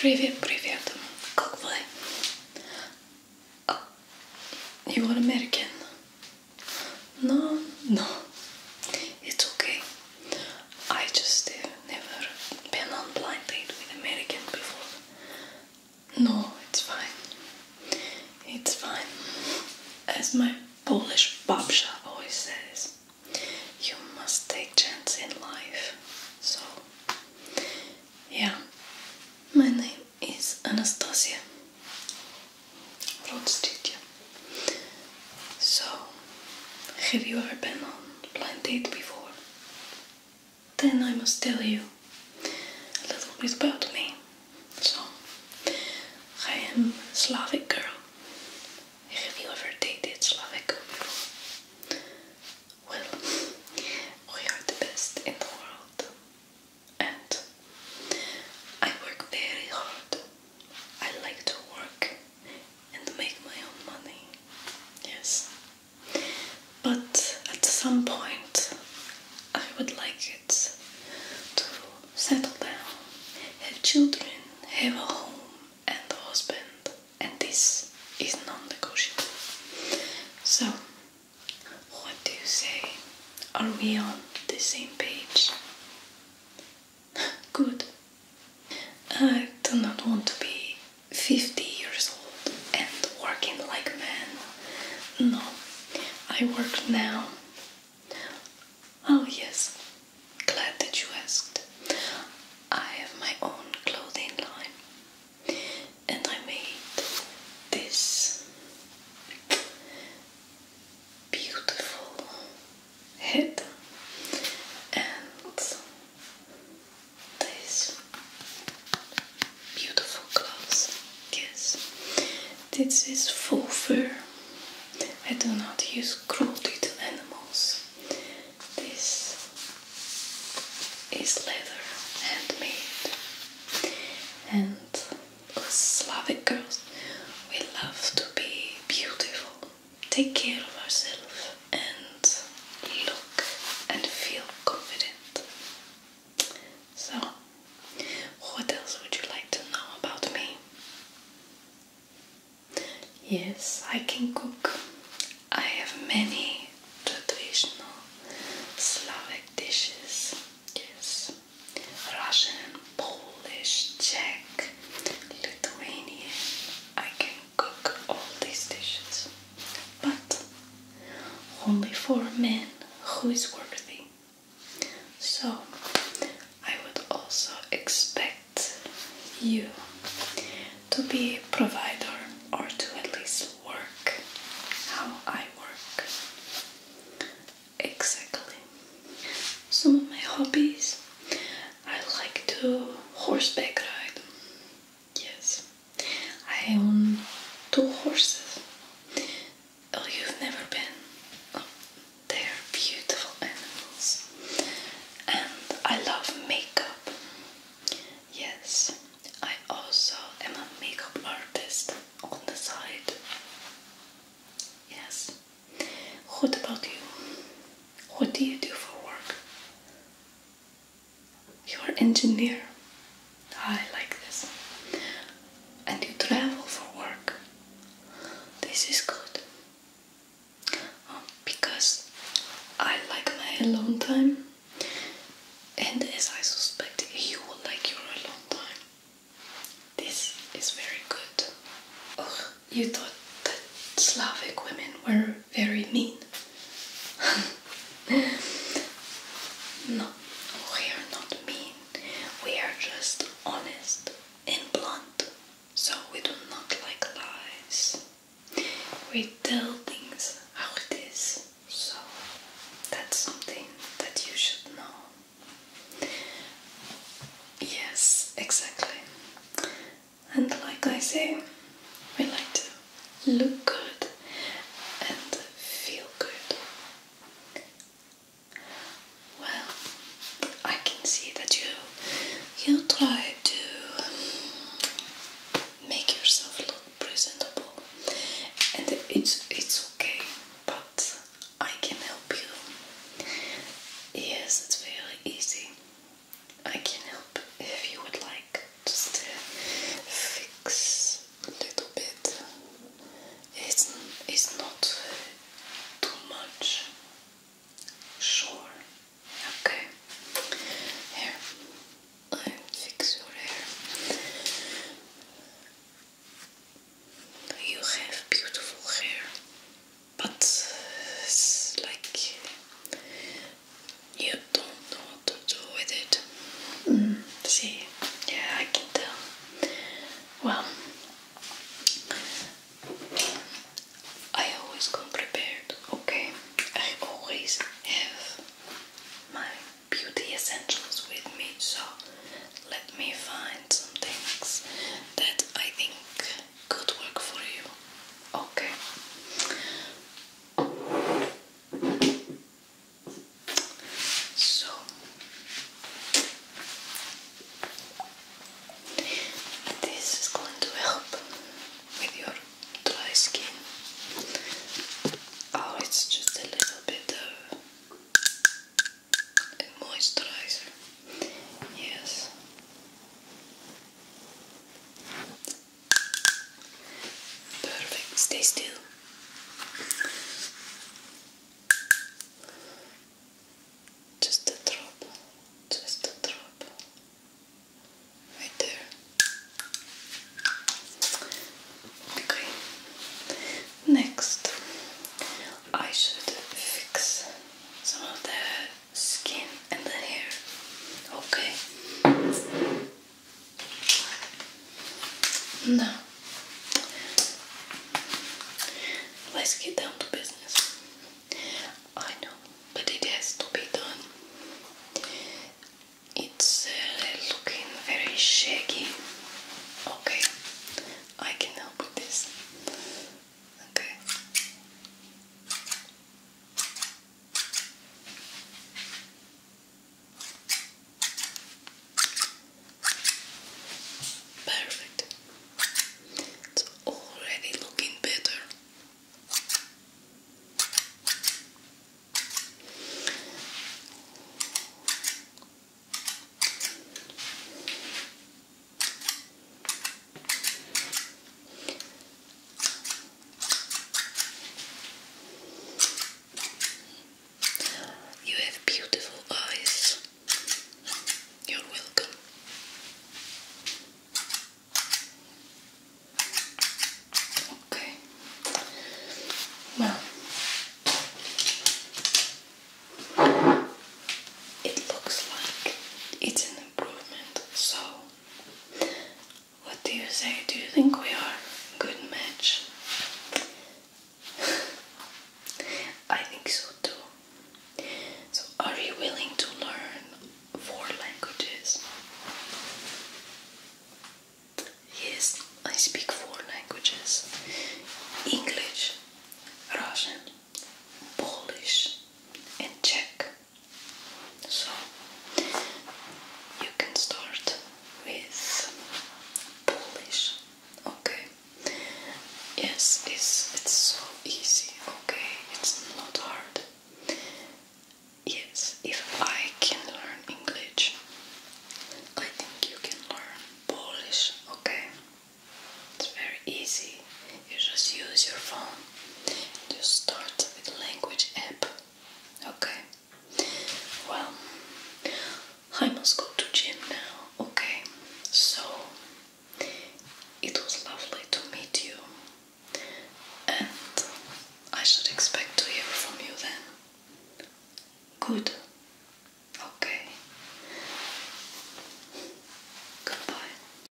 Привет, привет. Как вы? you are American? No, no. It's okay. I just uh, never been on blind date with American before. No, it's fine. It's fine. As my Polish babsha always says, you must take chance in life. So, yeah, my name is Anastasia from So, have you ever been on blind date before? Then I must tell you a little bit about me. So, I am a Slavic girl. Have you ever dated Slovak people? Well, we are the best in the world. And I work very hard. I like to work and make my own money. Yes. But at some point, I would like it to settle down, have children, have a home, and the husband, and this is non negotiable. So, what do you say? Are we on the same page? Good. I do not want to be 50 years old and working like a man. No, I work now Oh, yes, glad that you asked. I have my own clothing line, and I made this beautiful head and this beautiful clothes. Yes, this is full fur I do not use cruelty to animals. This is leather, handmade, and us Slavic girls, we love to be beautiful. Take care of ourselves and look and feel confident. So, what else would you like to know about me? Yes, I can cook. I have many traditional Slovak dishes. Yes, Russian, Polish, Czech, Lithuanian. I can cook all these dishes, but only for a man who is worthy. So, I would also expect you to be provider or to at least work how I work. Exactly. Some of my hobbies I like to horseback ride. Yes, I own two horses. Oh, you've never been. Oh, they're beautiful animals. And I love makeup. Yes, I also am a makeup artist on the side. Yes. What about you? What do you do for work? You're engineer. I like this. And you travel for work. This is good. Um, because I like my alone time, and as I suspect, you will like your alone time. This is very good. Oh, you thought that Slavic women were very mean. no, we are not mean. We are just honest and blunt, so we do not like lies. We tell things how it is, so that's something that you should know. Yes, exactly. And like I say, we like to look good and feel good. Well, I can see that you you try to um, make yourself look presentable, and it's it's okay. But I can help you. Yes, it's very easy. I can help if you would like. Just uh, fix little bit. It's it's not too much. Sure. Okay. Here, I fix your hair. You have beautiful hair, but uh, like you don't know to do with it. Mm. see, yeah, I can tell. Well, I always come prepared, okay? I always have my beauty essentials with me, so let me find some things that I think could work for you, okay? So this is going to help with your dry skin. Oh, it's just a little bit of moisturizer. Yes. Perfect, stay still. Just a drop, just a drop. Right there. Okay. Next, I should fix some of the skin and the hair. Okay. No. let's get down to business. I know, but it has to be done. It's uh, looking very shaggy. Okay, I can help with this. Okay. Perfect. It's already looking better. You have beautiful eyes. You're welcome. Okay. Well, it looks like it's an improvement, so what do you say? Do you think we are a good match? I think so too. So, are you willing to learn four languages? Yes, I speak four languages English, Russian, Polish, and Czech. So you can start with Polish. Okay. Yes, it's it's so easy. Okay, it's not hard. Yes, if I can learn English, I think you can learn Polish. Okay, it's very easy you just use your phone and you start with language app. Okay. Well, I must go to gym now. Okay. So it was lovely to meet you, and I should expect to hear from you then. Good. Okay. Goodbye.